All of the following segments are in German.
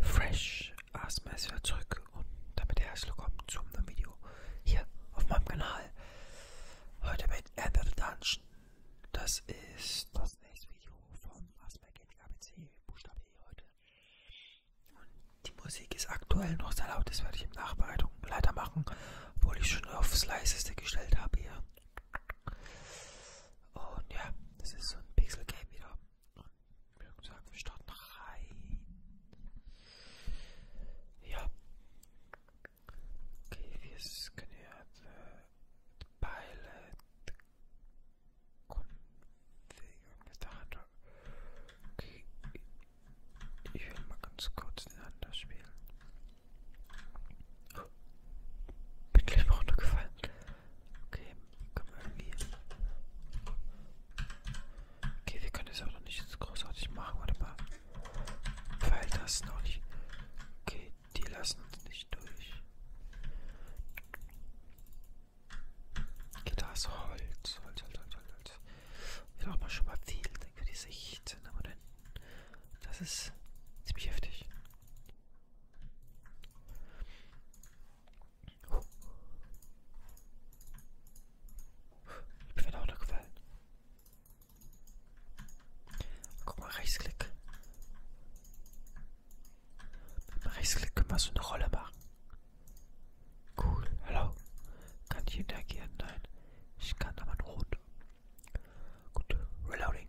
Fresh ASMR ist wieder zurück und damit herzlich willkommen zu einem Video hier auf meinem Kanal. Heute mit Ender the Dungeon. Das ist das nächste Video von ASMR Gaming ABC, Buchstabe E heute. Und die Musik ist aktuell noch sehr laut, das werde ich in Nachbereitung leider machen, obwohl ich schon aufs leiseste gestellt habe hier. Und ja, das ist so ein Pixel Game wieder und wir sagen, wir starten rein. Ja. Okay, wir können ja äh, the pilot configure mit der Hand. Okay, ich will mal ganz kurz den anderen spielen. Oh, bin gleich mal runtergefallen. Okay, können wir irgendwie. Okay, wir können das auch noch nicht großartig machen. Warte mal. Weil das noch nicht. Okay, die lassen uns nicht durch. Okay, da ist Holz. Holz, Holz, Holz, Holz, Holz. Wir brauchen schon mal viel für die 16. Aber dann. Das ist ziemlich heftig. Ich bin auch noch gefallen. Guck mal, Rechtsklick. Mit dem Rechtsklick können wir so eine Rolle machen. Cool, hallo. Kann ich interagieren? Nein. Ich kann aber nur runter. Gut, Reloading.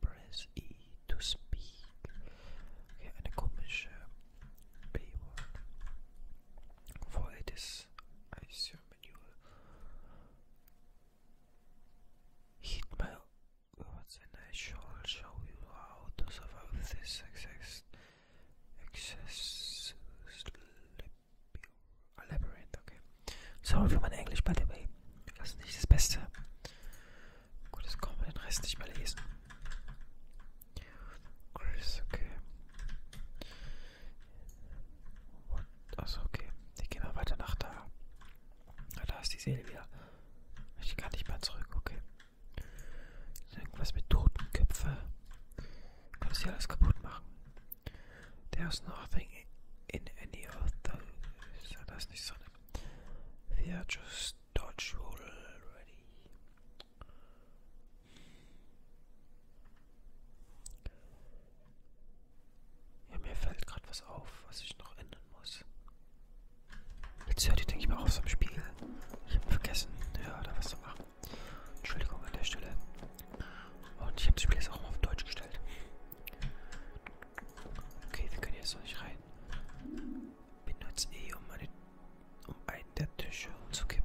press E to speak. Okay, eine komische B-Word. For it is, I assume, manual. Uh, heat my words and I shall show you how to survive this excess. Excess. Uh, labyrinth, okay. Sorry für mein Englisch, by the way. Das ist Gut, jetzt kann man den Rest nicht mehr lesen. Chris, okay. Und, achso, okay. Ich gehe mal weiter nach da. Ah, da ist die Seele wieder. Ich kann nicht mehr zurück, okay. Irgendwas mit Totenköpfe. Kannst hier alles kaputt machen. There's nothing in any of those. Ja, das ist nicht so eine We are just dodge roll already. Ja, mir fällt gerade was auf, was ich noch ändern muss. Jetzt hört ihr, denke ich mal, auf so einem Spiel. Ich habe vergessen, ja, da was zu machen. Entschuldigung an der Stelle. Und ich habe das Spiel jetzt auch mal auf Deutsch gestellt. Okay, wir können jetzt noch nicht rein. Benutze E, eh, um, eine, um einen der Tische umzukippen.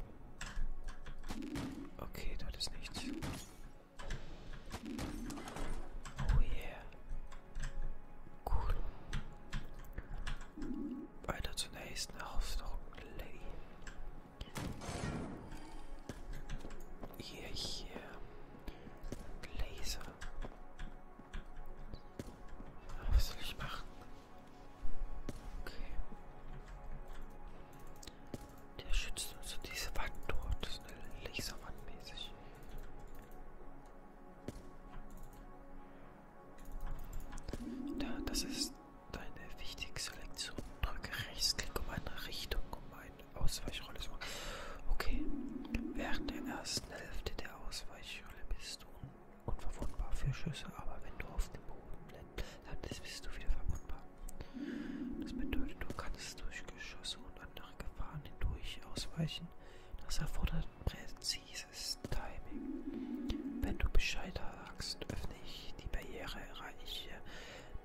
Okay, dort ist nichts. Oh yeah. Cool. Weiter zur nächsten Herausforderung, Lady. Hier, yeah, hier. Yeah. Laser. Ah, was soll ich machen? Okay. Der schützt uns und diese Wand dort. Das ist eine Laserwand mäßig. Da, das ist deine wichtige Selektion. Drücke Rechtsklick um eine Richtung, um eine Ausweichrolle suchen. Okay. Während der ersten Hälfte der Ausweichrolle bist du unverwundbar für Schüsse, aber wenn du auf dem Boden landest, bist du wieder verwundbar. Das bedeutet, du kannst durch Geschosse und andere Gefahren hindurch ausweichen. Das erfordert präzises Timing. Wenn du Bescheid sagst, öffne ich die Barriere, erreiche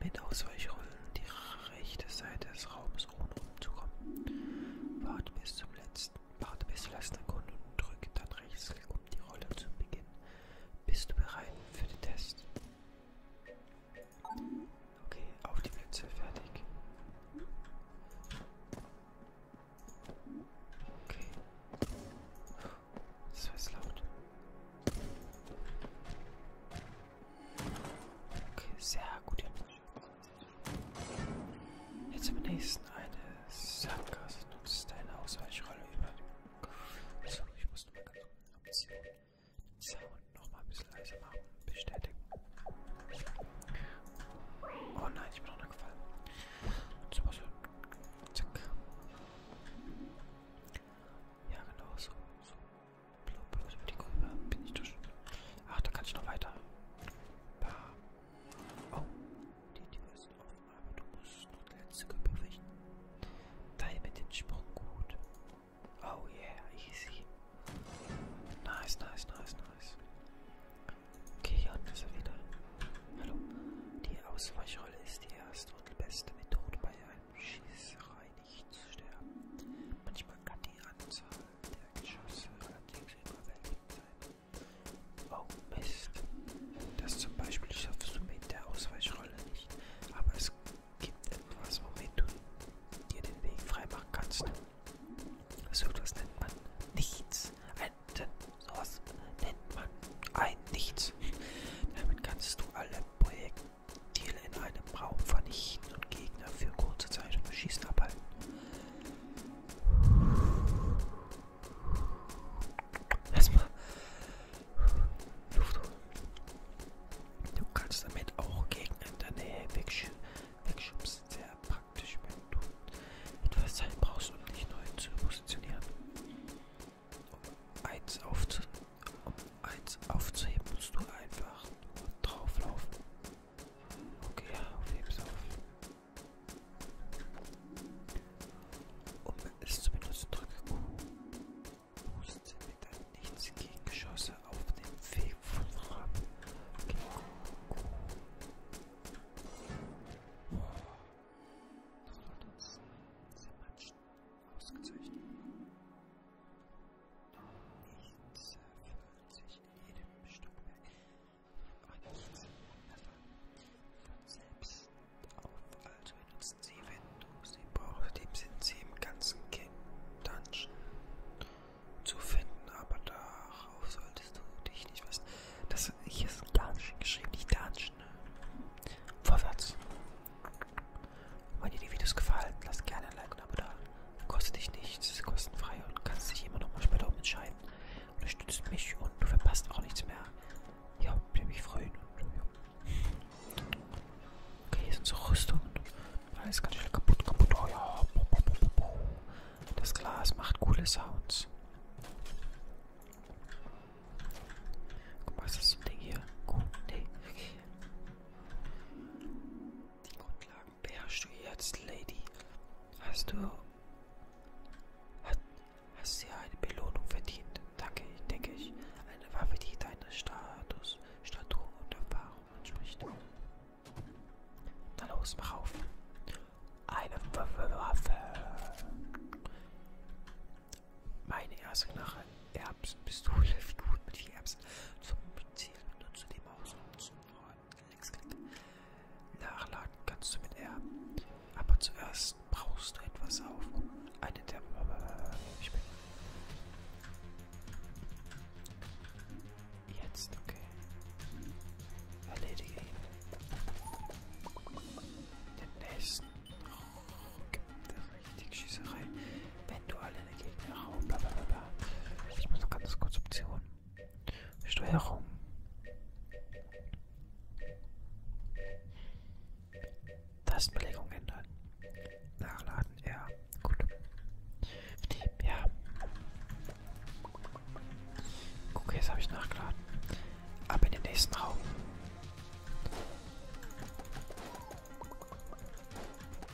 mit Ausweichrollen die rechte Seite des Raums, ohne umzukommen. Warte bis zum letzten, warte bis zur letzten Sekunde und drücke dann Rechtsklick, um die Rolle zu beginnen. Bist du bereit für den Test? Okay, auf die Plätze, fertig. Okay. Das war jetzt laut. Okay, sehr gut. Jetzt am nächsten eine Sackgasse. Nutzt deine Ausweichrolle über den Kopf. So, also, ich muss nochmal ganz unten abziehen. Den Sound nochmal ein bisschen leiser machen. Bestätigen. Oh nein, ich bin runtergefallen. Und so was. Zack. Ja, genau so. so. Blub, was über die Grube? Bin ich durch. Ach, da kann ich noch weiter. Bah. Oh. Die Tür ist offen, aber du musst noch die letzte Gruppe richten. Time den Sprung gut. Oh yeah, easy. Nice, nice, nice, nice. Okay, hier unten ist er wieder. Hallo. Die Ausweichrolle ist die erste und beste Methode bei einem Schießerei nicht sterben. Manchmal kann die Anzahl der Geschosse allerdings überwältigend sein. Oh Mist. Das zum Beispiel schaffst du mit der Ausweichrolle nicht. Aber es gibt etwas, womit du dir den Weg freimachen kannst. So etwas nennt man nichts. Ein, sowas nennt man ein Nichts. Damit kannst du alle Projekte Ziel in einem Raum vernichten und Gegner für kurze Zeit vom Schießen abhalten. Erstmal Luft holen. Du kannst damit auch Gegner in der Nähe wegsch wegschubsen. Sehr praktisch, wenn du etwas Zeit brauchst, um dich neu zu positionieren. Um eins aufzunehmen. Um eins aufzuheben, musst du einfach nur drauflaufen. Okay, ja, aufhebst auf. Um es zu benutzen, drücke Q. Musste mit einem nichts gegen Geschosse auf dem Weg von Ram. Okay, Q. Q. Das sollte uns zermatschen. Ausgezeichnet. Nichts erfüllt sich in jedem Stockwerk und nichts von selbst auf. Also nutzen Sie Windows. Sie brauchen, dem sind Sie im ganzen King Dungeon zu finden, aber darauf solltest du dich nicht wissen. Das hier ist ein Dungeon geschrieben, nicht Dungeon. Vorwärts. Wenn dir die Videos gefallen, lasst gerne ein Like und ein Abo da. Kostet dich nichts, ist kostenfrei und kannst dich immer noch mal später umentscheiden. Unterstützt mich und du verpasst auch nichts mehr. Ja, würde mich freuen. Und, ja. Okay, hier sind so Rüstungen. Alles ganz schnell kaputt, kaputt. Oh ja. Das Glas macht coole Sounds. Guck mal, ist das so ein Ding hier? Cool. Nee. Die Grundlagen beherrschst du jetzt, Lady. Hast du. Hat, hast ja eine Belohnung verdient. Danke, denke ich. Eine Waffe, die deine Status, Statur und Erfahrung entspricht. Na los, mach auf. Eine Waffe. Waffe. Meine erste Knarre, Erbsenpistole, Figur mit vier Erbsen zum Ziel benutze die Maus und zum Linksklick. Nachladen kannst du mit Erben, aber zuerst brauchst du etwas auf. Eine der ich bin Jetzt, okay. Erledige ihn. Den nächsten. Oh, gibt es richtig Schießerei. Wenn du alle deine Gegner raum, bla bla bla bla. Ich muss ganz kurz Option. Steuerung. Tastenbelegung ändern. Nachladen, ja. Gut. Ja. Okay, jetzt habe ich nachgeladen. Ab in den nächsten Raum.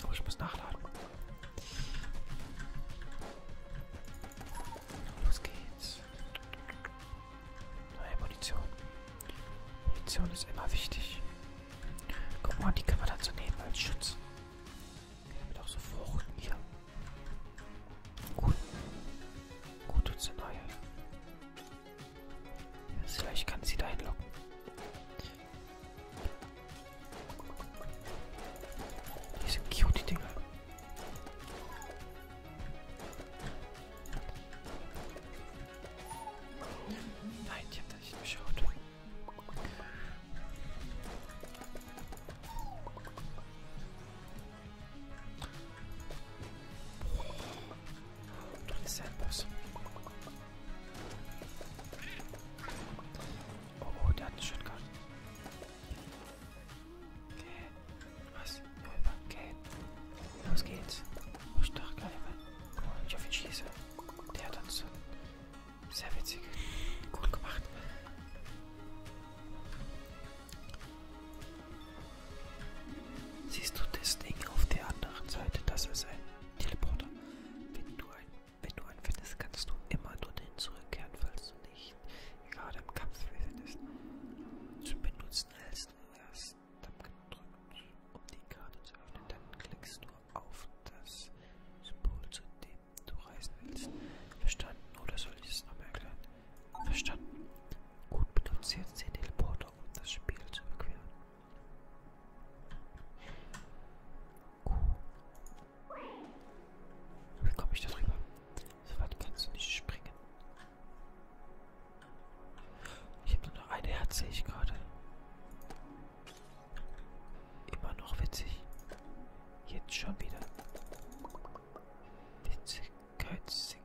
Oh, ich muss nachladen. Los geht's. Neue Munition. Munition ist immer wichtig. Guck mal, die kann man dazu nehmen als Schutz. Damit auch so Fruchten hier. Gut. Gut tut's denn neue. Vielleicht kann sie da hinlocken. Die sind cute, die Dinger. Nein, ich hab da nicht geschaut. Du bist ein Boss. Oh, oh, der hat eine Shotgun. Okay. Was? Okay. Los geht's. Oh, stark, geil. Guck mal, ich auf ihn schieße. Der hat uns sehr witzig. Gut gemacht. Siehst du das Ding auf der anderen Seite? Das ist ein Teleporter. Wenn du ein, wenn du einen findest, kannst du immer dorthin zurückkehren, falls du nicht gerade im Kampf befindest. Zu benutzen hältst du erst Tab gedrückt, um die Karte zu öffnen. Dann klickst du auf das Symbol, zu dem du reisen willst. Verstanden? Oder soll ich es nochmal erklären? Verstanden. Gut, benutze jetzt den Teleporter, um das Spiel zu überqueren. Kuh. Wie komme ich da drüber? So weit kannst du nicht springen. Ich habe nur noch ein Herz, sehe ich gerade. Immer noch witzig. Jetzt schon wieder. Witzigkeit sinken.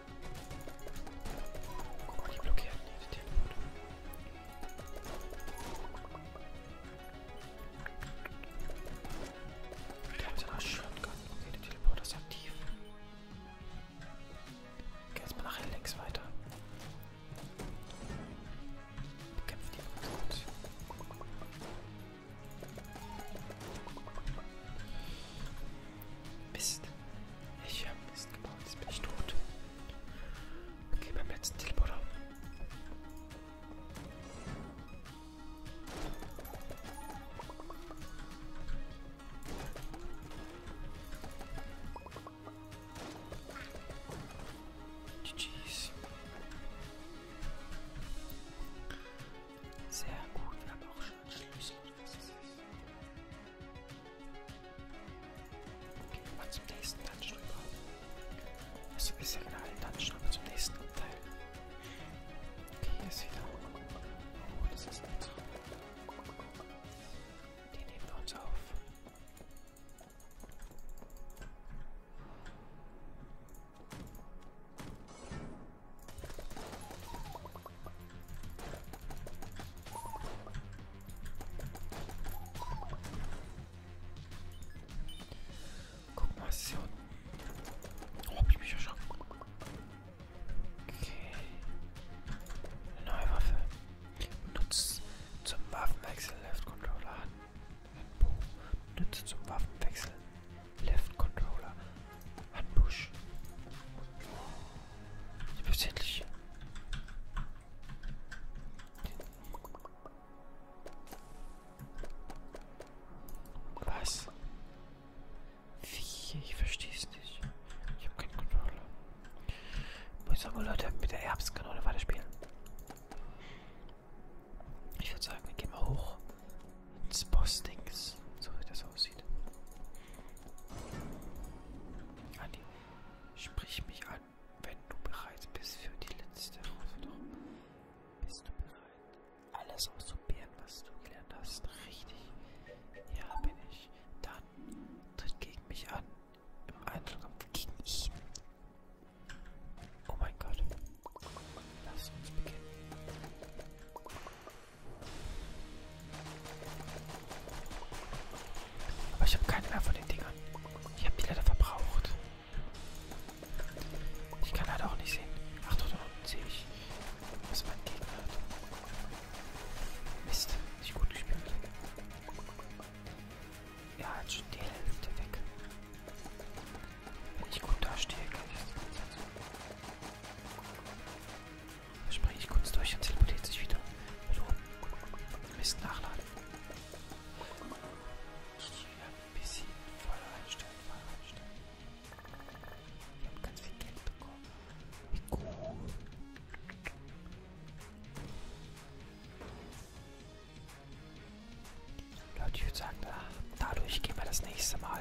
Guck mal, die blockieren die Teleporter. Der hat ja noch Shotgun. Okay, der Teleporter ist aktiv. Okay, jetzt mal nachher links weiter. Bekämpft die gut. Mist. Ich habe Mist gebaut, jetzt bin ich tot. Okay, beim letzten Teleporter. GG's. Sehr gut, wir haben auch schon einen Schlüssel. Was ist das? Gehen wir mal zum nächsten Dungeon rüber. Also ist ja genau ein Dungeon, aber zum nächsten Teil. Okay, hier ist wieder. Oh, das ist ein Traum. Den nehmen wir uns auf. Guck mal, was ist hier unten? Oh, hab ich mich erschrocken. Okay. Eine neue Waffe. Nutzt zum Waffenwechsel Left Controller an. Nutzt zum Waffenwechsel Left Controller ein Busch. Ich bin's endlich. Was? Wie? Ich versteh's nicht. Ich habe keine Kontrolle. Muss aber Leute mit der Erbskanone weiterspielen. Ich würde sagen, wir gehen mal hoch ins Boss-Dings, so wie das aussieht aussieht. Anni, sprich mich an, wenn du bereit bist für die letzte Herausforderung. Bist du bereit, alles auszuprobieren, was du gelernt hast? Richtig. Ja, bin ich. Dann tritt gegen mich an. Im Einzelkampf gegen ihn. Oh mein Gott. Lass uns beginnen. Aber ich habe keine mehr von den Dingern. Ich habe die leider verbraucht. Ich kann leider halt auch nicht sehen. Ach doch, da unten sehe ich, was mein Gegner hat. Mist, nicht gut gespielt. Ja, jetzt schon die Hälfte weg. Wenn ich gut dastehe, kann ich das Springe ich kurz durch und teleportiert sich wieder. Hallo. Mist nachladen. Hier ein bisschen Feuer einstellen, Feuer einstellen. Wir haben ganz viel Geld bekommen. Wie cool. Leute, ich würde sagen, da, dadurch gehen wir das nächste Mal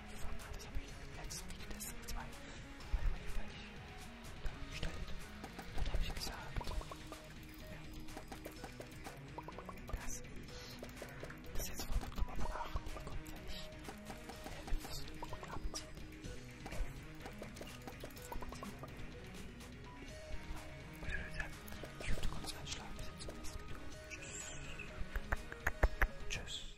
gefunden hat. Das habe ich im letzten Video des Season 2 bei der Wii fertig dargestellt. Dort habe ich gesagt, dass ich das jetzt von Oktober von 8 kommt, wenn ich elf Stunden abziehe. Ich hoffe, du konntest einschlafen. Tschüss.